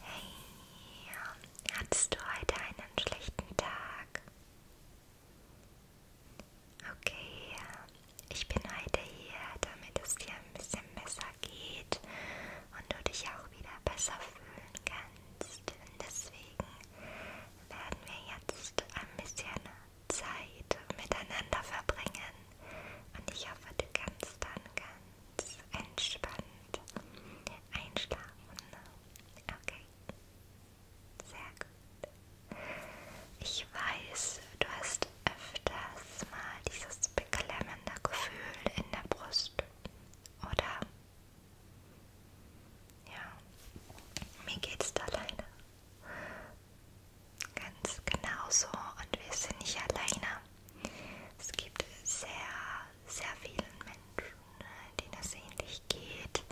Hey, hattest du heute einen schlechten Tag? Okay, ich bin heute hier, damit es dir ein bisschen besser geht und du dich auch wieder besser fühlen kannst. Und deswegen werden wir jetzt ein bisschen Zeit miteinander verbringen und ich hoffe, du kannst dann ganz entspannt einschlafen. Okay. Sehr gut. Ich weiß, du hast öfters mal dieses beklemmende Gefühl in der Brust, oder? Ja, mir geht's da leider ganz genauso und wir sind nicht alleine. Es gibt sehr, sehr vielen Menschen, denen es ähnlich geht.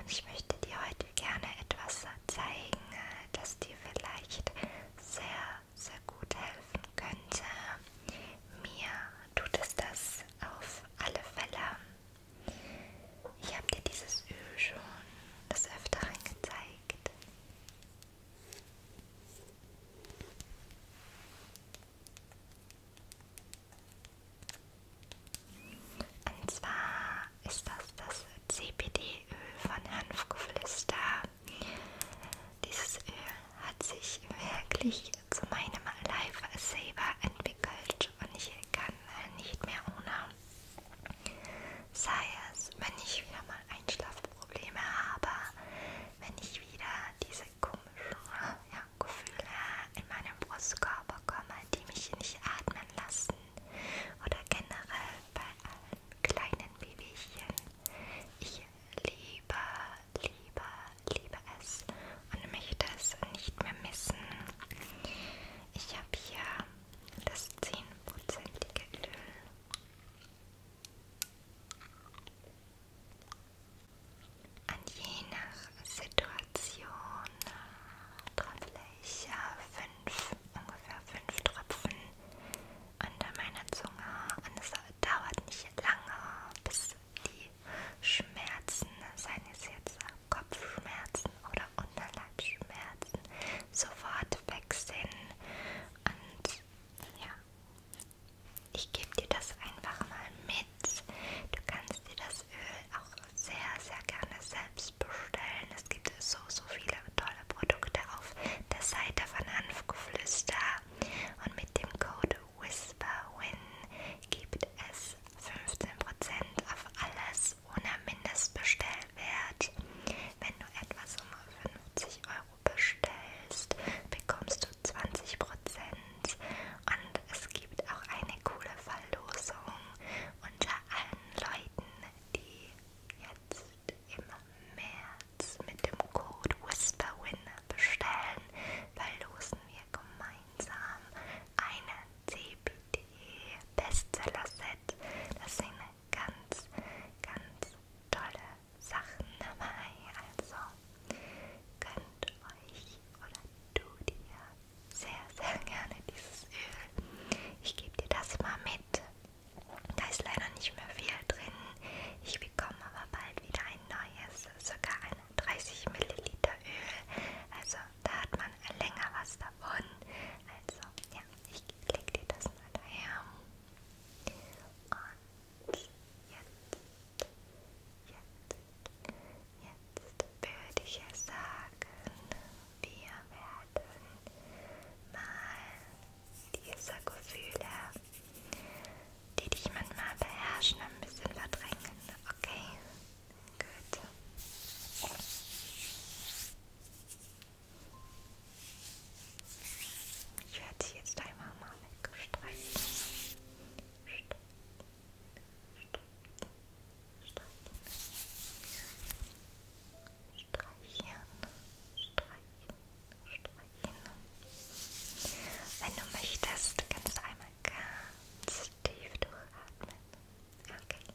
Und ich möchte dir heute gerne etwas zeigen, das dir vielleicht sehr, sehr gut helfen könnte. Mir tut es das auf alle Fälle. Ich habe dir dieses Öl schon des Öfteren gezeigt. Und zwar ist das das CBD-Öl von Hanfgeflüster. Dieses Öl hat sich wirklich zu meinem Lifesaver entwickelt und ich kann nicht mehr ohne. Sei es, wenn ich wieder mal einschlafe Probleme habe, wenn ich wieder diese komischen ja, Gefühle in meinem Brustkorb bekomme, die mich nicht atmen lassen oder generell bei allen kleinen Babychen. Ich liebe, liebe, liebe es und möchte es nicht mehr missen. Ich habe hier das 10%ige Öl. Und je nach Situation trommle ich fünf, ungefähr fünf Tropfen unter meiner Zunge und es dauert nicht lange, bis die Schmerzen, seien es jetzt Kopfschmerzen oder Unterleibsschmerzen, sofort weg sind und ja, ich gebe dir das einfach mal mit. Du kannst dir das Öl auch sehr, sehr gerne selbst bestellen. Es gibt so, so viele tolle Produkte auf der Seite von Hanfgeflüster. Und mit dem Code WhisperWin gibt es 15% auf alles ohne Mindestbestellwert. Wenn du etwas um 50 Euro Euro bestellst, bekommst du 20% und es gibt auch eine coole Verlosung unter allen Leuten, die jetzt im März mit dem Code WhisperWin bestellen, verlosen wir gemeinsam eine CBD Bestseller Set. Das sind ganz, ganz tolle Sachen dabei, also könnt euch oder du dir sehr, sehr gerne dieses Öl. Ich gebe dir das mal mit. Da ist leider nicht mehr viel drin. Ich bekomme aber bald wieder ein neues, sogar ein 30 Milliliter Öl. Also da hat man länger was davon. Also ja, ich lege dir das mal daher. Und jetzt, jetzt, jetzt würde ich ja sagen, wir werden mal diese Gefühle, die dich manchmal beherrschen, ein bisschen verdrängen, okay? Gut. Ich werde sie jetzt einmal mal mitgestreichen. Streichen. Streichen. Streichen. Streichen. Wenn du möchtest, kannst du einmal ganz tief durchatmen. Okay.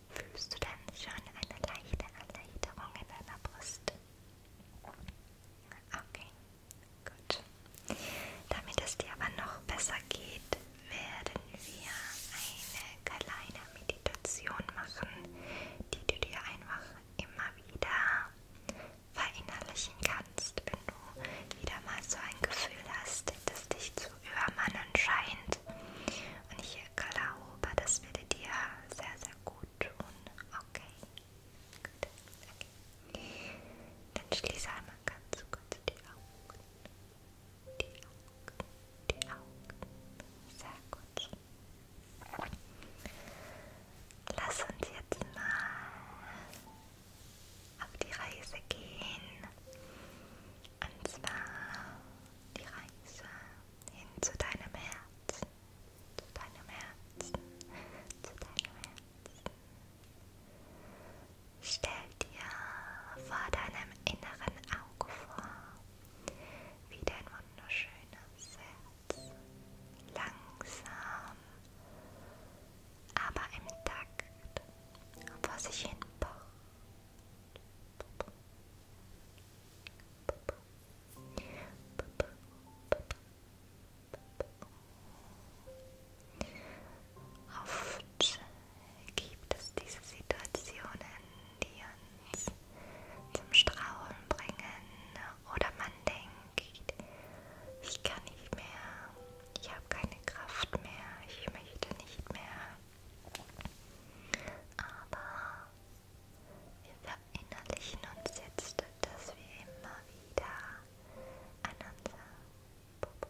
fühlst du dann schon eine leichte Erleichterung in deiner Brust? Okay, gut. Damit es dir aber noch besser geht, werden wir eine kleine Meditation machen, die du dir einfach immer wieder verinnerlichen kannst, wenn du wieder mal so ein Gefühl hast, das dich zu übermannen scheint und ich glaube, das würde dir sehr, sehr gut tun. Okay. Gut. Okay. Dann schließe einmal ganz kurz die Augen. Die Augen. Die Augen. Sehr gut. Lass uns jetzt mal auf die Reise gehen. Und zwar die Reise hin zu deinem Herzen, zu deinem Herzen, zu deinem Herzen. Stell dir vor deinem inneren Auge vor, wie dein wunderschönes Herz langsam, aber im Takt vor sich hin pocht. Oft gibt es diese Situationen, die uns zum Straulen bringen oder man denkt, ich kann nicht mehr, ich habe keine Kraft mehr, ich möchte nicht mehr. Aber wir verinnerlichen uns jetzt, dass wir immer wieder an unser Popo,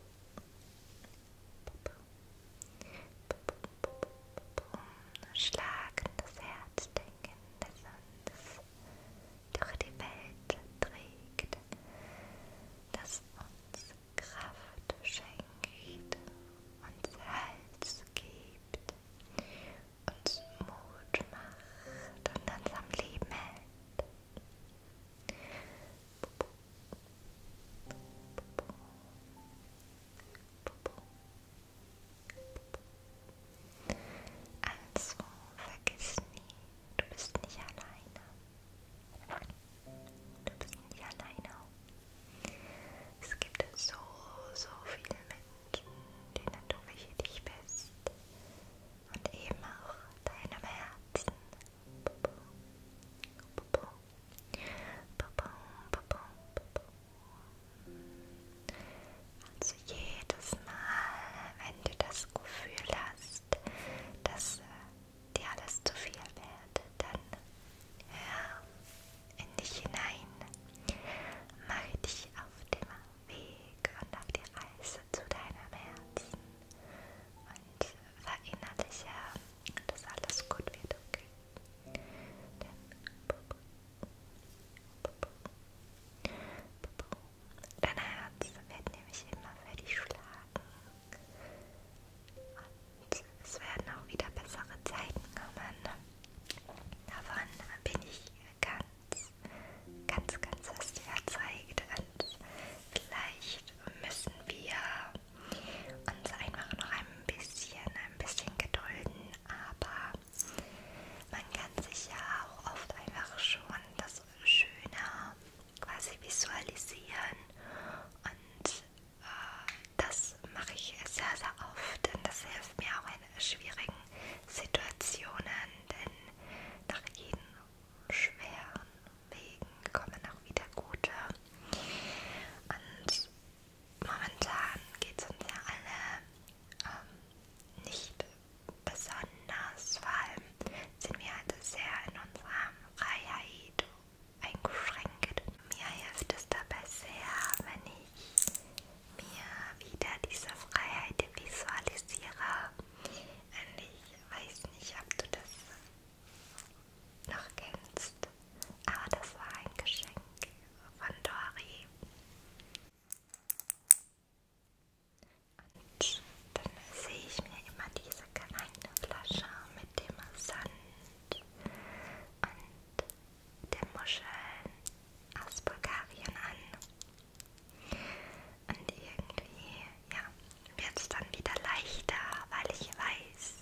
Popo, Popo, Popo, schlagendes Herz denken, das uns durch die Welt trägt, das uns Kraft schenkt, uns Hals gibt, uns Mut macht und uns am Leben hält. Also vergiss nie, du bist nicht alleine. Du bist nicht alleine. Es gibt so, so viele Menschen, denen du wichtig bist. Und eben auch deinem Herzen. Also jedes Mal, wenn du das Gefühl hast, dass äh, dir alles zu viel wird, dann hör in dich hinein. Mache dich auf dem Weg und auf die Reise zu deinem Herzen und verinnerliche, dass alles gut wird, okay? Denn Dein Herz wird nämlich immer für dich schlagen. Und es werden auch wieder bessere Zeiten kommen. Davon bin ich ganz, ganz, ganz fest überzeugt. Und vielleicht müssen wir uns einfach noch ein bisschen, ein bisschen gedulden, aber man kann sich ja auch oft einfach schon das Schöne quasi visualisieren und das mache ich sehr, sehr oft, denn das hilft mir auch in schwierigen Situationen, denn nach jedem schweren Wegen kommen auch wieder gute. Und momentan geht es uns ja alle ähm, nicht besonders, vor allem sind wir halt sehr in unserer Freiheit eingeschränkt. Mir hilft es dabei sehr, wenn ich mir wieder diese Freiheit visualisiere. Und ich weiß nicht, ob du das noch kennst, aber das war ein Geschenk von Dori. Und dann sehe ich mir immer diese kleine Flasche mit dem Sand und der Muscheln aus Bulgarien an. Und irgendwie, ja, wird es dann wieder leichter, weil ich weiß,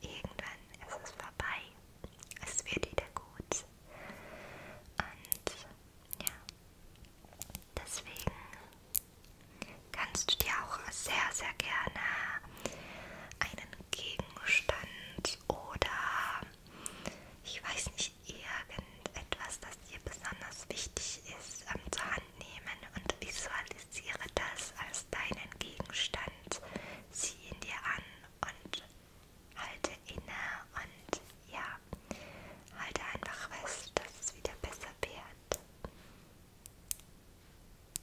irgendwann ist es vorbei. Es wird wieder gut. Und ja, deswegen kannst du dir auch sehr, sehr gerne einen Gegenstand oder ich weiß nicht, irgendetwas, das dir besonders wichtig ist, ähm, zur Hand nehmen und visualisiere das als deinen Gegenstand, zieh ihn dir an und halte inne und ja, halte einfach fest, dass es wieder besser wird.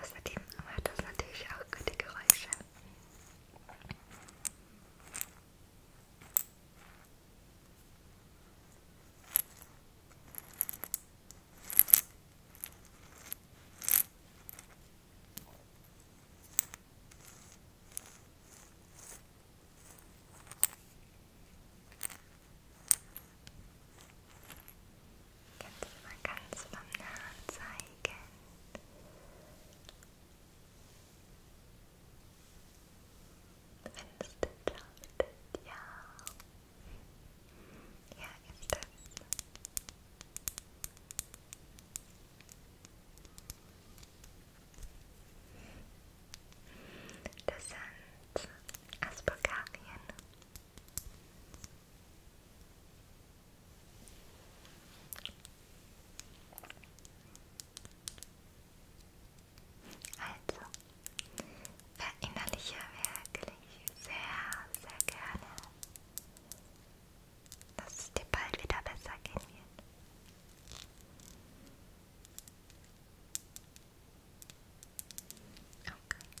Außerdem macht das natürlich auch gute Geräusche. Kannst du mal ganz vom Nahen zeigen? Findest du das? Ja. Ja, ist das. Das sind aus Bulgarien. Also, verinnerliche wirklich sehr, sehr gerne, dass es dir bald wieder besser gehen wird. Okay. Gut.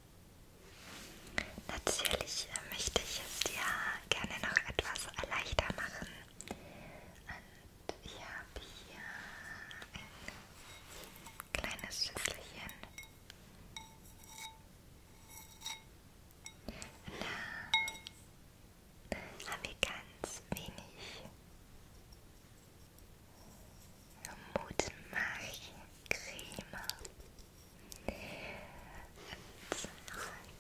Natürlich möchte ich es dir gerne noch etwas leichter machen. Und ich habe hier ein kleines Schüsselchen. Da haben wir ganz wenig Mutmachcreme.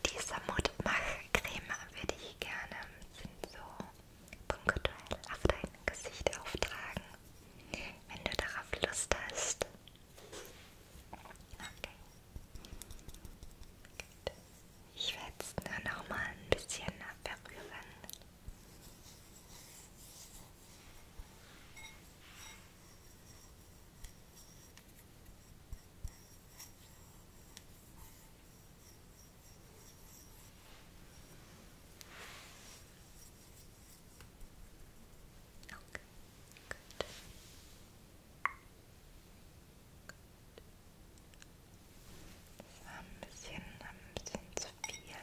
Diese Mutmachcreme würde ich gerne sind so punktuell auf dein Gesicht auftragen, wenn du darauf Lust hast. Okay. Gut. Ich werde es nur noch mal ein bisschen berühren. Okay, good. Das war ein bisschen, ein bisschen zu viel.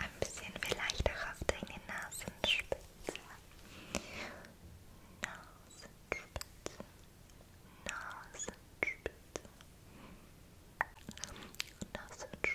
Ein bisschen vielleicht auch auf deine Nasenspitze. Nasenspitze. Nasenspitze. Nasenspitze.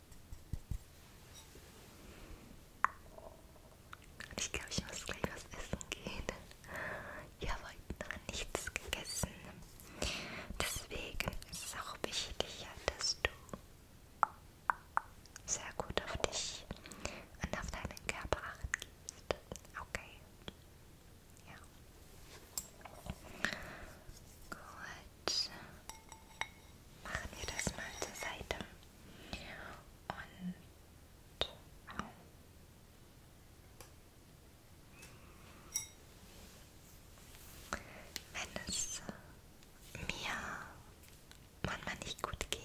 Ich glaube, ich muss gleich was essen gehen. Ich habe heute noch nichts gegessen. Deswegen ist es auch wichtig, dass du sehr gut auf dich und auf deinen Körper acht gibst. Okay. Ja. Gut machen wir das mal zur Seite. Und oh. wenn es mir manchmal nicht gut gehe,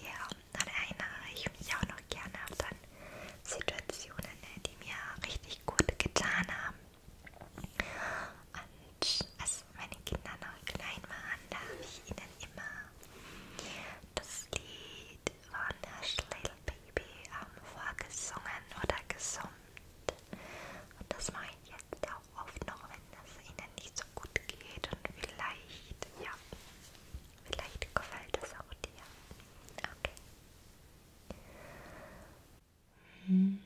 dann erinnere ich mich auch noch gerne an Situationen, die mir richtig gut getan haben und als meine Kinder noch klein waren, da habe ich ihnen immer das Lied von Hush Little Baby ähm, vorgesungen oder gesummt. Und das mache ich jetzt auch oft noch, wenn es ihnen nicht so gut geht und vielleicht, ja, vielleicht gefällt es auch dir. Okay. Mm -hmm.